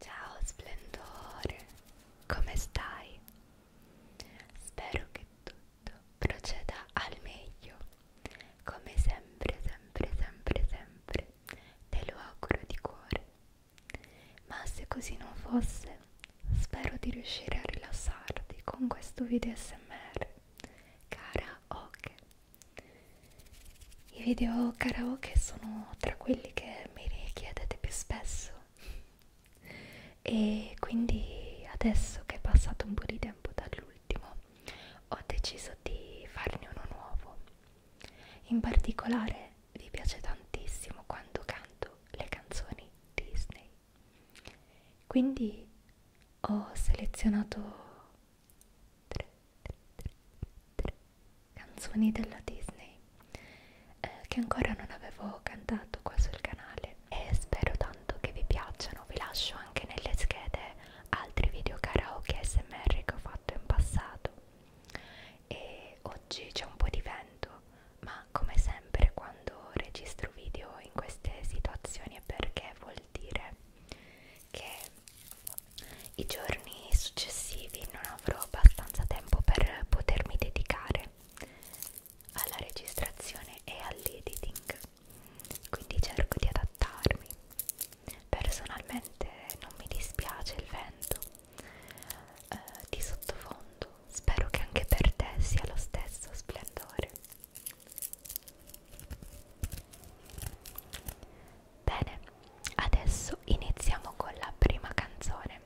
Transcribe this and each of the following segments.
Ciao splendore, come stai? Spero che tutto proceda al meglio. Come sempre, sempre, sempre, sempre, te lo auguro di cuore. Ma se così non fosse, spero di riuscire a rilassarti con questo video smr karaoke i video karaoke sono tra quelli che mi richiedete più spesso e quindi adesso che è passato un po' di tempo dall'ultimo ho deciso di farne uno nuovo in particolare vi piace tantissimo quando canto le canzoni Disney quindi ho selezionato tre, tre, tre, tre canzoni della Disney eh, che ancora non avevo cantato qua sul canale e spero tanto che vi piacciono vi lascio anche nelle schede altri video karaoke smr che ho fatto in passato e oggi c'è un po' di vento ma come sempre quando registro video in queste situazioni è perché vuol dire che i giorni successivi non avrò abbastanza tempo per potermi dedicare alla registrazione e all'editing quindi cerco di adattarmi personalmente non mi dispiace il vento eh, di sottofondo Spero che anche per te sia lo stesso splendore. Bene, adesso iniziamo con la prima canzone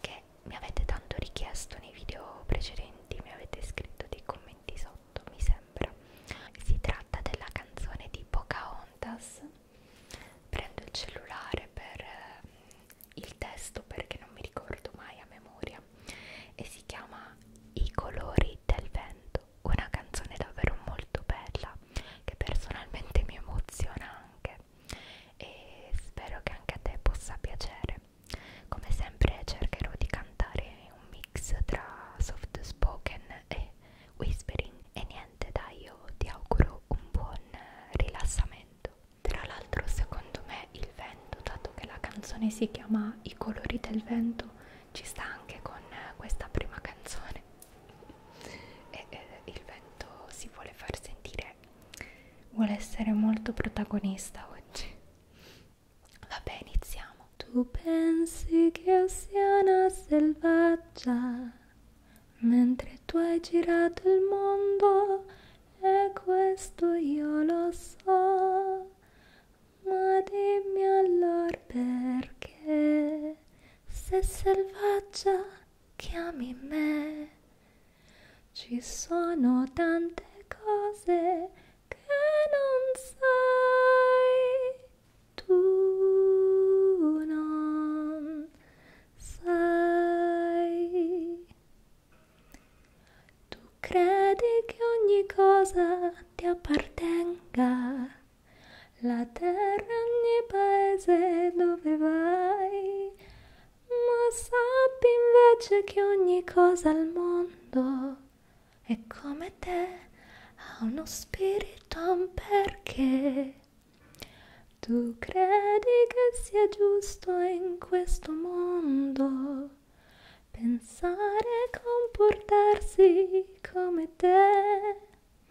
che mi avete tanto richiesto nei video precedenti, mi avete scritto dei commenti sotto, mi sembra. Si tratta della canzone di Pocahontas. Prendo il cellulare per eh, il testo perché non mi ricordo mai a memoria e si chiama I colori del vento, una canzone davvero molto bella che personalmente mi emoziona anche e spero che anche a te possa piacere. Come sempre cercherò di cantare un mix tra soft spoken e whispering e niente dai io ti auguro un buon rilassamento. Tra l'altro secondo me il vento, dato che la canzone si chiama I colori del vento, ci sta anche con eh, questa prima canzone. E eh, il vento si vuole far sentire, vuole essere molto protagonista oggi. Vabbè, iniziamo. Tu pensi che io sia una selvaggia, mentre tu hai girato il mondo e questo io lo so, ma dimmi allora perché se selvaggia chiami me. Ci sono tante cose che non sai, tu non sai. Tu credi che ogni cosa ti appartenga, la terra, ogni paese dove vai, ma sappi invece che ogni cosa al mondo è come te, ha uno spirito, un perché. Tu credi che sia giusto in questo mondo pensare e comportarsi come te,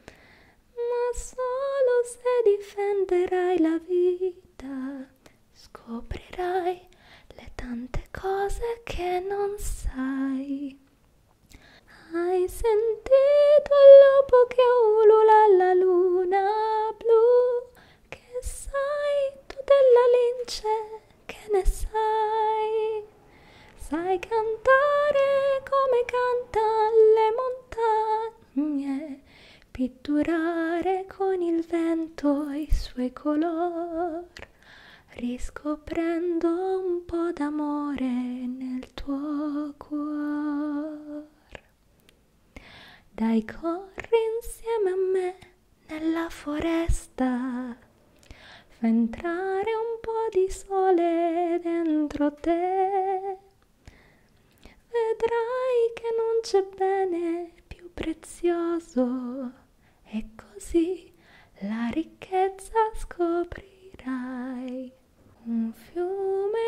ma solo se difenderai la vita scoprirai le tante cose che non sai. Hai sentito il lupo che ulula alla luna blu? Che sai tu della lince? Che ne sai? Sai cantare come cantano le montagne, pitturare con il vento i suoi color, riscoprendo un po' d'amore nel tuo cuore. Dai, corri insieme a me nella foresta. Fa entrare un po' di sole dentro te. Vedrai che non c'è bene più prezioso. E così la ricchezza scoprirai. Un fiume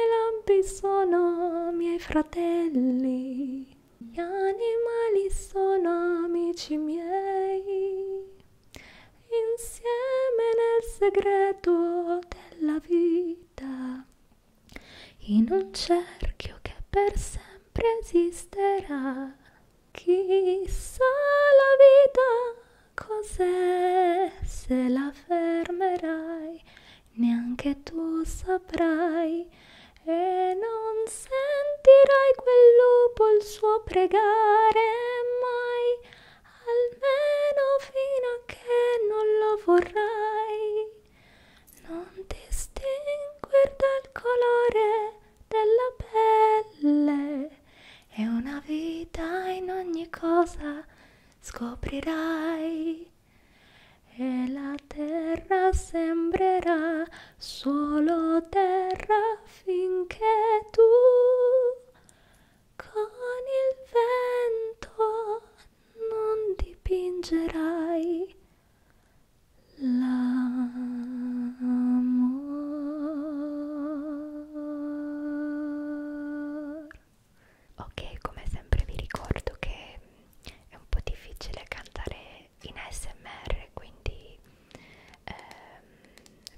sono miei fratelli, gli animali sono amici miei. Insieme nel segreto della vita, in un cerchio che per sempre esisterà. Chissà la vita cos'è se la fermerai neanche tu saprai e non sentirai quel lupo il suo pregare mai, almeno fino a che non lo vorrai. Non distinguer dal colore della pelle e una vita in ogni cosa scoprirai e la terra sembrerà solo terra finché tu con il vento non dipingerai l'amor. Ok, come sempre vi ricordo che mm, è un po' difficile cantare in ASMR, quindi ehm,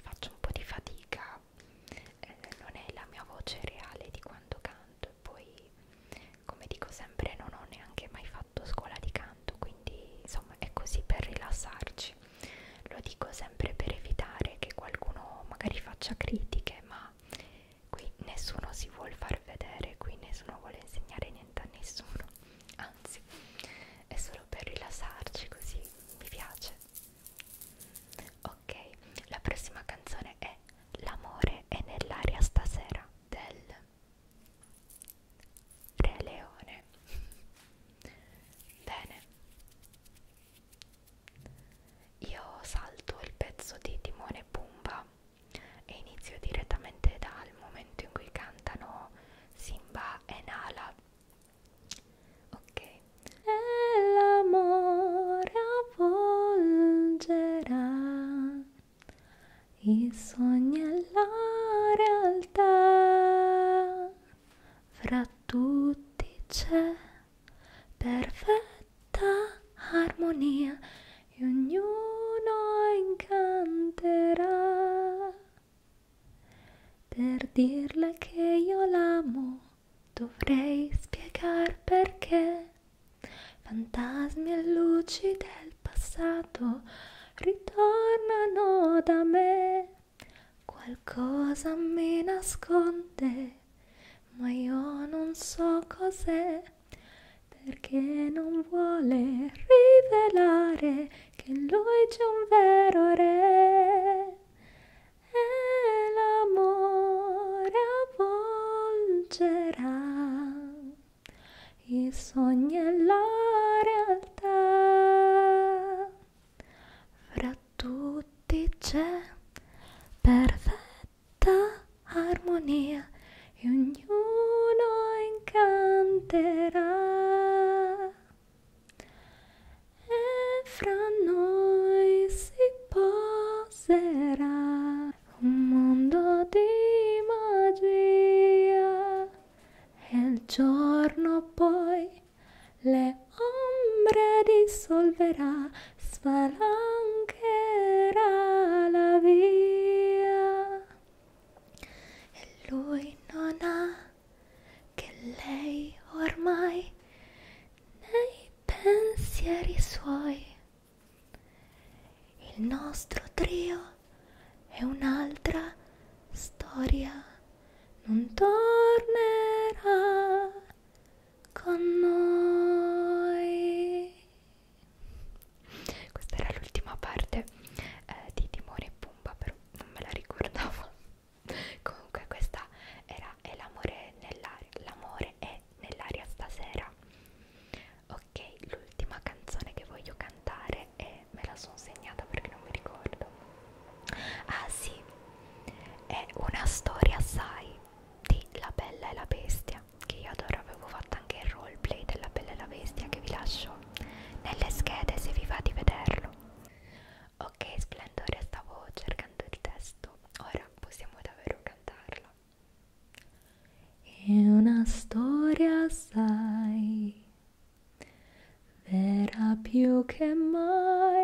faccio un po' di fatica, eh, non è la mia voce reale di quando canto. E poi, come dico sempre, non ho neanche mai fatto scuola di canto, quindi insomma è così per rilassarci. Lo dico sempre per evitare che qualcuno magari faccia critiche, ma qui nessuno si vuol far vedere, qui nessuno vuole insegnare niente a nessuno, anzi è solo per rilassarci così, mi piace. Ok, la prossima canzone è L'amore è nell'aria stasera del Re Leone. Bene, io salto il pezzo di Timone e Pumba e inizio direttamente dal momento in cui cantano Simba e Nala. Ok. E l'amore avvolgerà i sogni e la realtà fra tutti c'è perfetta armonia e ognuno incanterà per dirle che io l'amo dovrei spiegar perché fantasmi e luci del passato ritornano da me qualcosa mi nasconde ma io non so cos'è perché non vuole rivelare che lui c'è un vero re. E l'amore avvolgerà i sogni e la realtà. Fra tutti c'è perfetto armonia e ognuno incanterà. E fra noi si poserà un mondo di magia e il giorno poi le ombre dissolverà spalancherà la via e lui non ha che lei ormai nei pensieri suoi il nostro trio è un'altra storia non tornerà con noi. Questa era l'ultima parte eh, di Timone e Pumba, però non me la ricordavo. Comunque, questa era è l'amore nell'aria. L'amore è nell'aria stasera. Ok, l'ultima canzone che voglio cantare e me la sono segnata perché non mi ricordo. Ah sì, è una storia, sai, di La Bella e la Bestia che io adoro avevo fatto anche il roleplay della Bella e la Bestia che vi lascio nelle schede se vi va di vederlo ok splendore stavo cercando il testo ora possiamo davvero cantarlo è una storia sai vera più che mai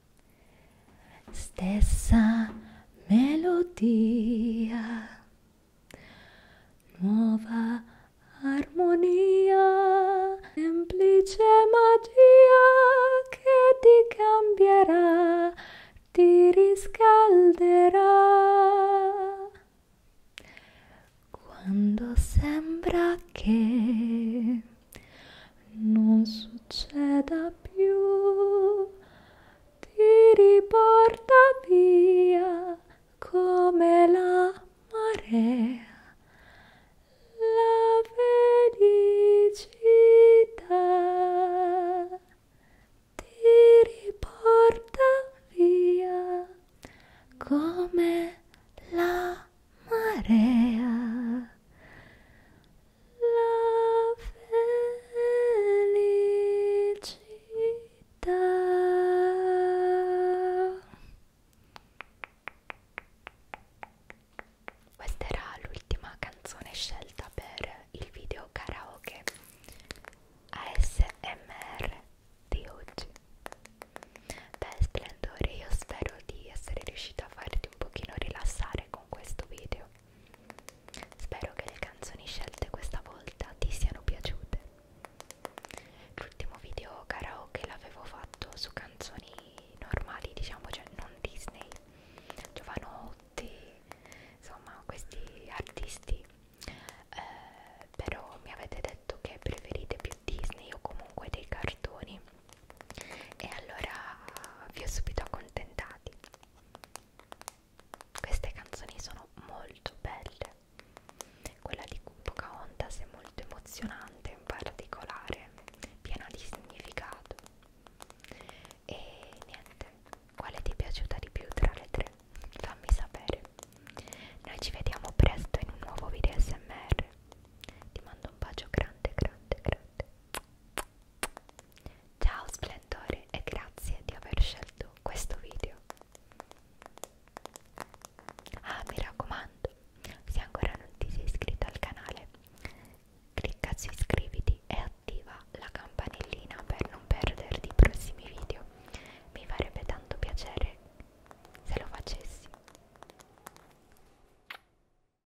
Stessa melodia, nuova armonia, semplice magia che ti cambierà, ti riscalderà. Quando sembra che non succeda più, ti riporta via come la marea. La felicità ti riporta via come la marea la felicità. Questa era l'ultima canzone scelta per il video karaoke ASMR di oggi. Beh, splendore, io spero di essere riuscita a farti un pochino rilassare con questo video. Spero che le canzoni scelte questa volta ti siano piaciute. L'ultimo video karaoke l'avevo fatto su canzoni normali, diciamo, cioè non Disney, Giovanotti, insomma questi artisti. Eh, però mi avete detto che preferite più Disney o comunque dei cartoni e allora vi ho subito accontentati queste canzoni sono molto belle quella di Pocahontas è molto emozionante in particolare piena di significato e niente quale ti è piaciuta di più tra le tre? fammi sapere noi ci vediamo presto in un nuovo video smr ti mando un bacio grande grande grande Ciao splendore e grazie di aver scelto questo video. Ah, mi raccomando, se ancora non ti sei iscritto al canale, clicca su iscriviti e attiva la campanellina per non perderti i prossimi video. Mi farebbe tanto piacere se lo facessi.